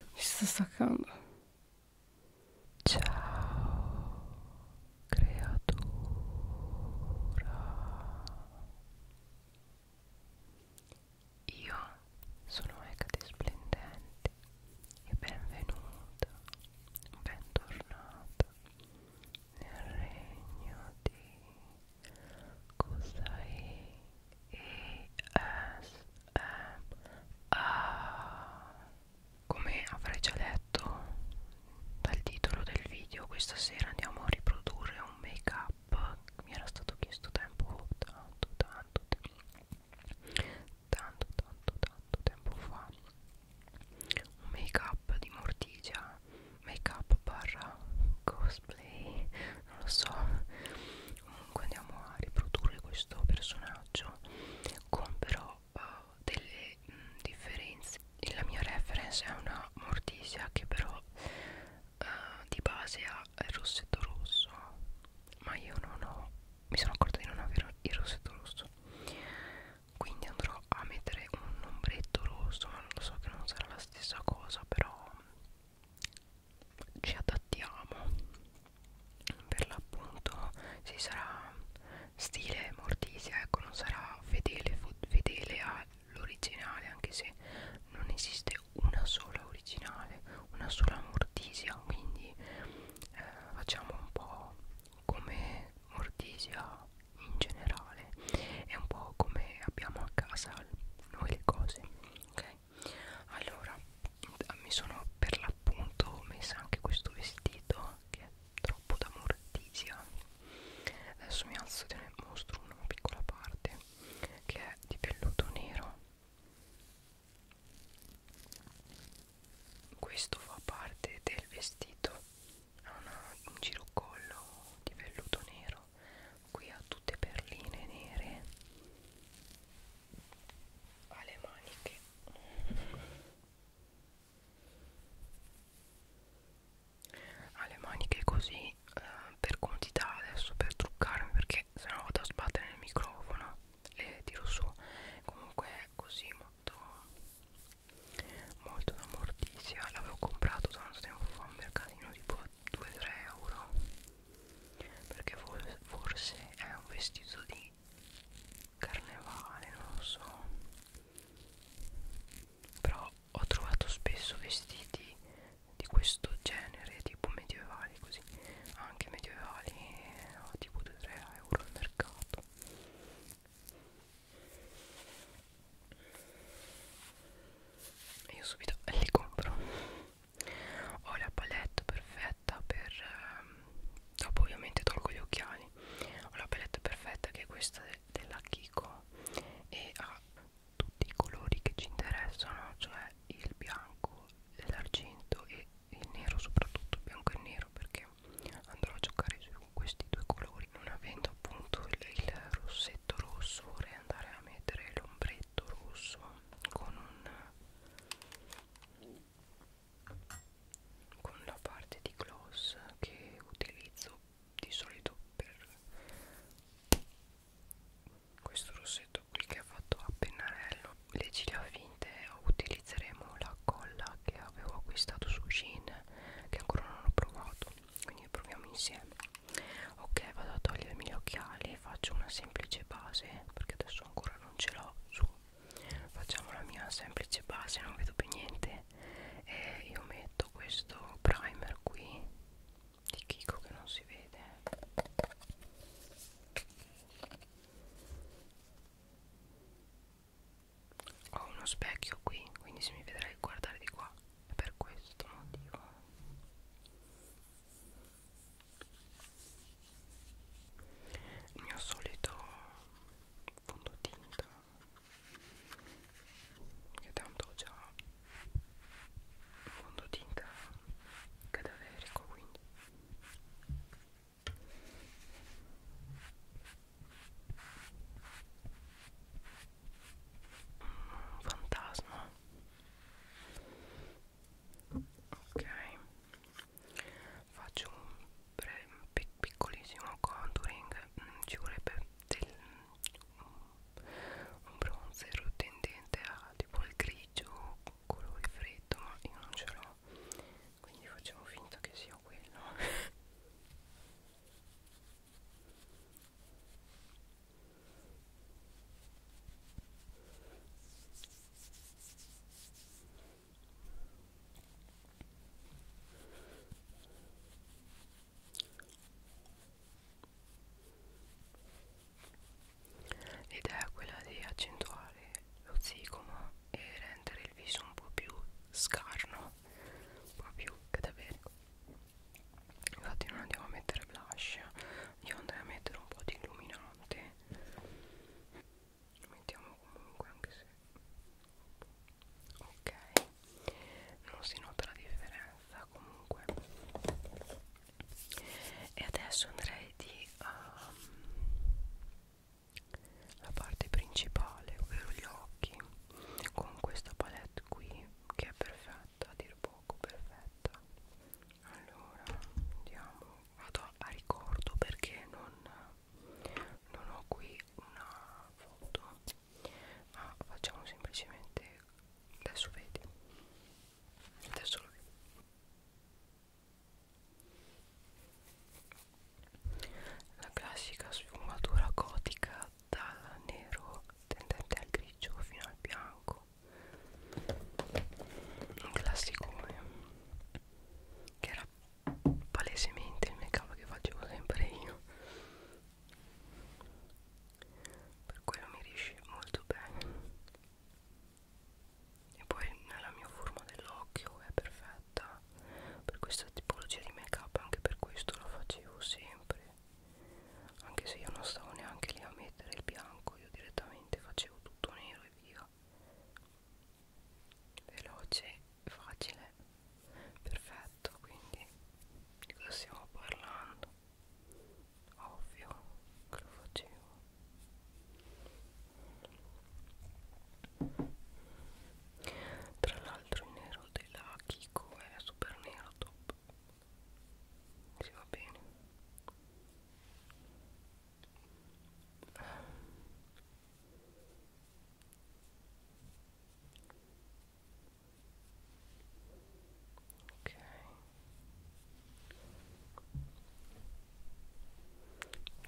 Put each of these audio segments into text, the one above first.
Mi sto staccando. Ciao, creatura. Io sono Ecate Splendente e benvenuta, bentornata nel regno di Kusai. A come avrei già letto dal titolo del video, questa sera andiamo a riprodurre un make up che mi era stato chiesto tempo tanto tanto tanto tanto tanto tempo fa un make up di Mortigia make up barra cosplay non lo so un comunque andiamo a riprodurre questo personaggio con però uh, delle mh, mm, differenze la mia reference è una mortisia che però uh, di base ha il rossetto rosso ma io non ho mi sono accorta di non avere il rossetto rosso quindi andrò a mettere un ombretto rosso ma lo so che non sarà la stessa cosa però ci adattiamo per l'appunto si sarà stile mortisia ecco non sarà fedele, fedele all'originale anche se non esiste una sola originale una sola mortisia quindi eh, facciamo un po' come mortisia in generale è un po' come abbiamo a casa noi le cose ok allora mi sono per l'appunto messa anche questo vestito che è troppo da mortisia adesso mi alzo e ne mostro una piccola parte che è di velluto nero questo fa parte del vestito ha una, un girocollo di velluto nero qui ha tutte perline nere alle maniche ha le maniche così eh, per comodità adesso per truccarmi perché sennò vado a sbattere nel microfono le tiro su comunque è così molto molto da mortizia l'avevo comprato tanto tempo fa un mercatino tipo 2-3 euro perché forse è un vestito di carnevale non lo so però ho trovato spesso vestiti di questo genere tipo medievali così anche medievali a tipo 2-3 euro al mercato io subito li compro ho la palette perfetta per ehm, dopo ovviamente tolgo gli occhiali ho la palette perfetta che è questa de della Kiko e ha tutti i colori che ci interessano cioè il bianco l'argento e il nero soprattutto il bianco e il nero perché andrò a giocare su questi due colori non avendo appunto il, il rossetto rosso vorrei andare a mettere l'ombretto rosso con un con la parte di gloss che utilizzo di solito per questo rossetto qui che ho fatto a pennarello le ciglia finte utilizzeremo la colla che avevo acquistato su Shein che ancora non ho provato quindi proviamo insieme ok vado a togliermi gli occhiali faccio una semplice base perché adesso ancora non ce l'ho su facciamo la mia semplice base non vedo più niente e io metto questo primer qui di Kiko che non si vede ho uno specchio qui quindi se mi vedrai guardare di qua per questo motivo il mio solito fondotinta che tanto ho già fondotinta cadaverico quindi un fantasma ok faccio un breve, pic piccolissimo contouring mm, ci vorrebbe del, mm, un bronzer tendente a tipo il grigio colore freddo ma io non ce l'ho quindi facciamo finta che sia quello L'idea è quella di accentuare lo zigomo e rendere il viso un po' più scarno, un po' più cadaverico infatti non andiamo a mettere blush io andrei a mettere un po' di illuminante lo mettiamo comunque anche se ok non si nota la differenza comunque e adesso andrei di um, la parte principale ovvero gli occhi con questa palette qui che è perfetta a dir poco perfetta allora andiamo vado a ricordo perché non, non ho qui una foto ma ah, facciamo semplicemente adesso vedi adesso lo vedi la classica sfumatura gotica va dal nero tendente al grigio fino al bianco un classicone eh, che era palesemente il make up che facevo sempre io per quello mi riesce molto bene e poi nella mia forma dell'occhio è perfetta per questa tipologia di make up anche per questo lo facevo sempre anche se io non stavo neanche lì a mettere il bianco io direttamente facevo tutto nero e via veloce facile perfetto quindi di cosa stiamo parlando ovvio che lo facevo tra l'altro l'altro il nero della Kiko è super nero top si va bene ok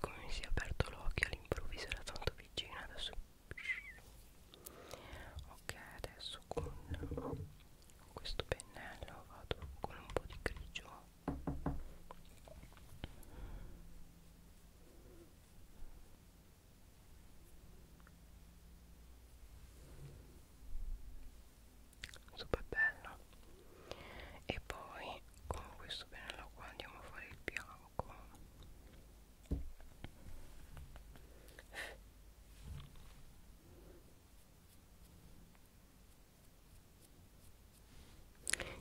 come mi si è aperto l'occhio all'improvviso era tanto vicina adesso ok adesso con questo pennello vado con un po' di grigio super bello e poi con questo pennello qua andiamo a fare il bianco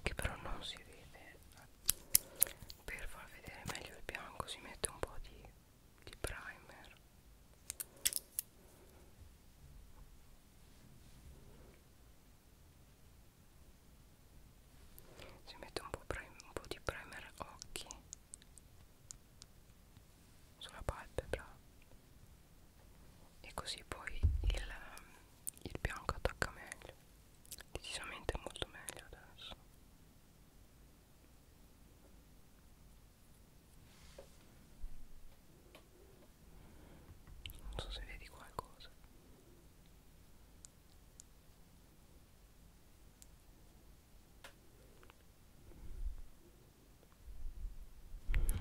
che però non si vede per far vedere meglio il bianco si mette un po' di, di primer si mette un po, un po' di primer occhi sulla palpebra e così poi il, il bianco attacca meglio decisamente molto meglio adesso non so se vedi qualcosa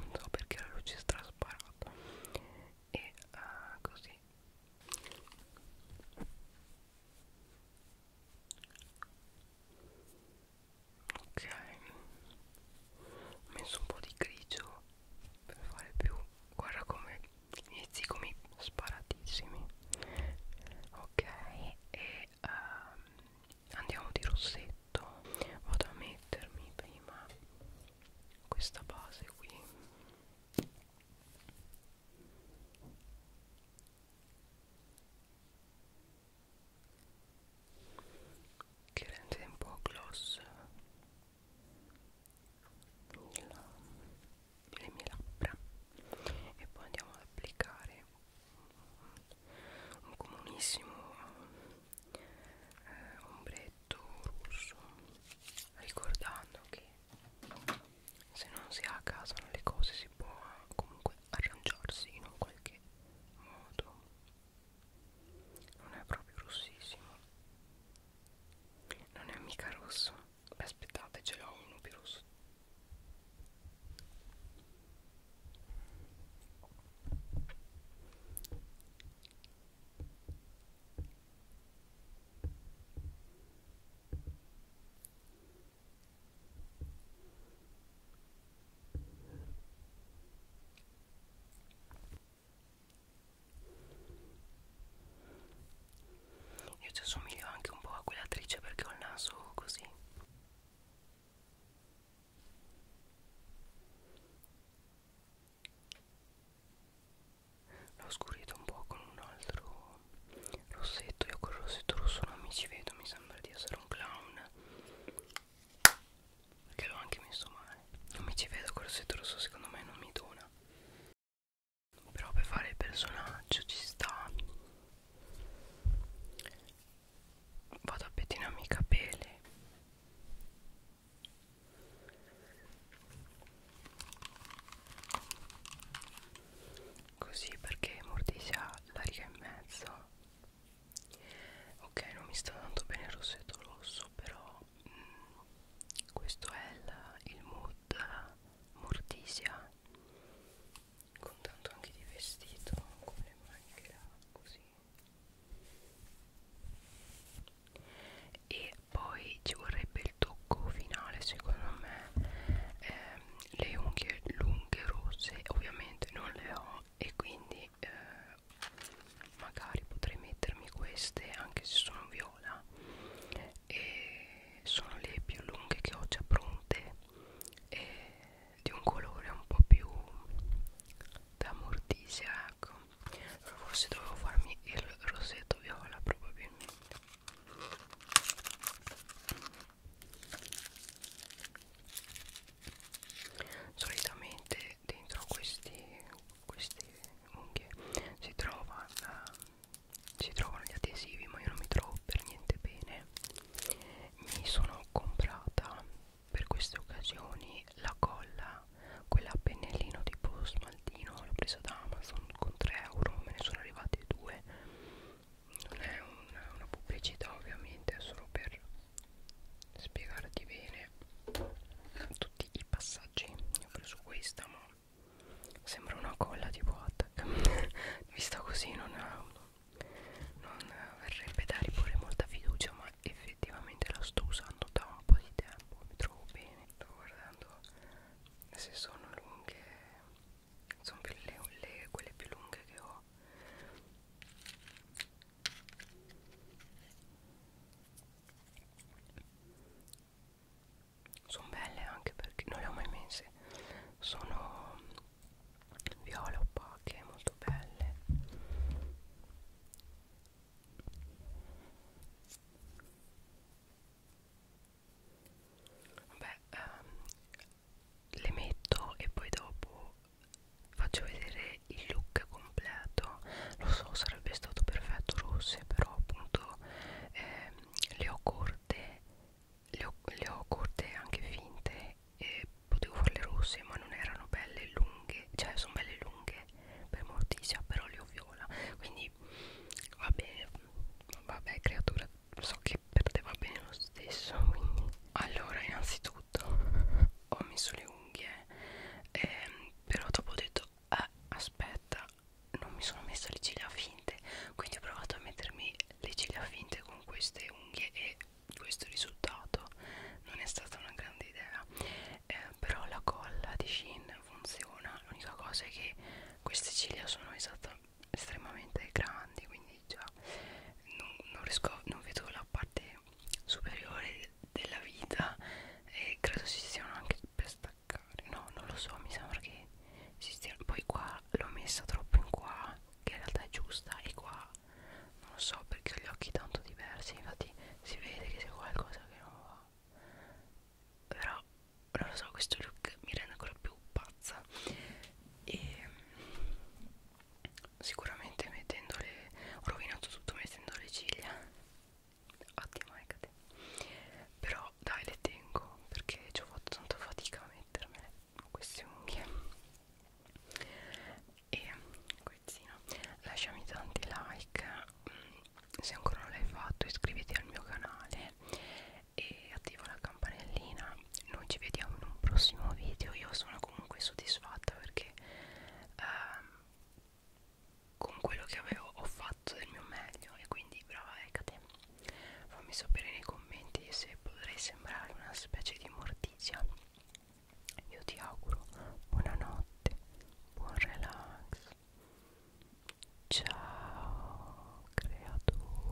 non so perché la luce è trasparata e uh, così ok ho messo un po' di grigio per fare più guarda come inizi come sparatissimi ok e um, andiamo di rossetto vado a mettermi prima questa base qui che rende un po' gloss il, le mie labbra e poi andiamo ad applicare un comunissimo eh, ombretto rosso ricordando che se non si ha a casa le cose si può comunque arrangiarsi in un qualche modo non è proprio rossissimo non è mica rosso Beh, aspettate ce l'ho uno più rosso io ci assomiglio anche un po' a quell'attrice perché ho il naso così. L'ho scurito un po' con un altro rossetto. Io col rossetto rosso non mi ci vedo, mi sembra di essere un clown. Perché l'ho anche messo male Non mi ci vedo col setto rosso secondo me non mi dona Però per fare il personaggio ci sta Vado a pettinarmi i capelli Così perché mortizia la riga in mezzo Ok non mi sta dando bene il rossetto rosso però questo è il, il mood mortisia con tanto anche di vestito con le maniche là così e poi ci vorrebbe il tocco finale secondo me ehm, le unghie lunghe rosse ovviamente non le ho e quindi e eh, magari potrei mettermi queste anche se sono viola e sono le più lunghe che ho già pronte e di un colore un po' più da mortisia ecco Però forse dovevo farmi il rosetto viola probabilmente solitamente e dentro questi, queste unghie si, trova la, si trovano gli adesivi ma io non mi trovo per niente bene mi sono comprata per queste occasioni la colla quella a pennellino tipo smaltino l'ho presa da Amazon con 3 euro me ne sono arrivate due non è una, una pubblicità ovviamente è solo per spiegarti bene tutti i passaggi Io ho preso questa ma sembra una colla tipo attack vista così non, non verrebbe da riporre molta fiducia ma effettivamente la sto usando da un po' di tempo mi trovo bene sto guardando se sono lunghe sono le, le, quelle più lunghe che ho sono belle anche perché non le ho mai messe sono viola opache molto belle vabbè ehm, le metto e poi dopo faccio vedere il look completo lo so sarebbe stato perfetto rosse però appunto eh, le ho corte le ho, le ho corte anche finte e potevo farle rosse ma non erano belle lunghe cioè sono belle lunghe per morticia però le ho viola quindi va bene vabbè creatura so che per te va bene lo stesso quindi allora innanzitutto tutto ho messo le unghie ehm, però dopo ho detto eh, aspetta non mi sono messa le ciglia finte quindi ho provato a mettermi le ciglia finte con queste unghie e questo risultato non è stata una grande idea eh, però la colla di Shein funziona l'unica cosa è che queste ciglia sono esatto, estremamente grandi quindi già non, non riesco non vedo la parte superiore della vita e credo si stiano anche per staccare no non lo so mi sembra che si stiano poi qua l'ho messa troppo in qua che in realtà è giusta e qua non lo so perché ho gli occhi tanto diversi infatti si vede che c'è qualcosa che non va però non lo so questo look mi rende ancora più pazza e sicuramente mettendole ho rovinato tutto mettendo le ciglia ottima eccote però dai le tengo perché ci ho fatto tanta fatica a mettermele queste unghie e quezzino lasciami tanti like se ancora non l'hai fatto iscriviti al mio canale e attiva la campanellina noi ci vediamo in un prossimo video io sono comunque soddisfatta perché ehm, con quello che avevo ho fatto del mio meglio e quindi brava Ecate fammi sapere nei commenti se potrei sembrare una specie di mortizia io ti auguro buonanotte buon relax ciao creatura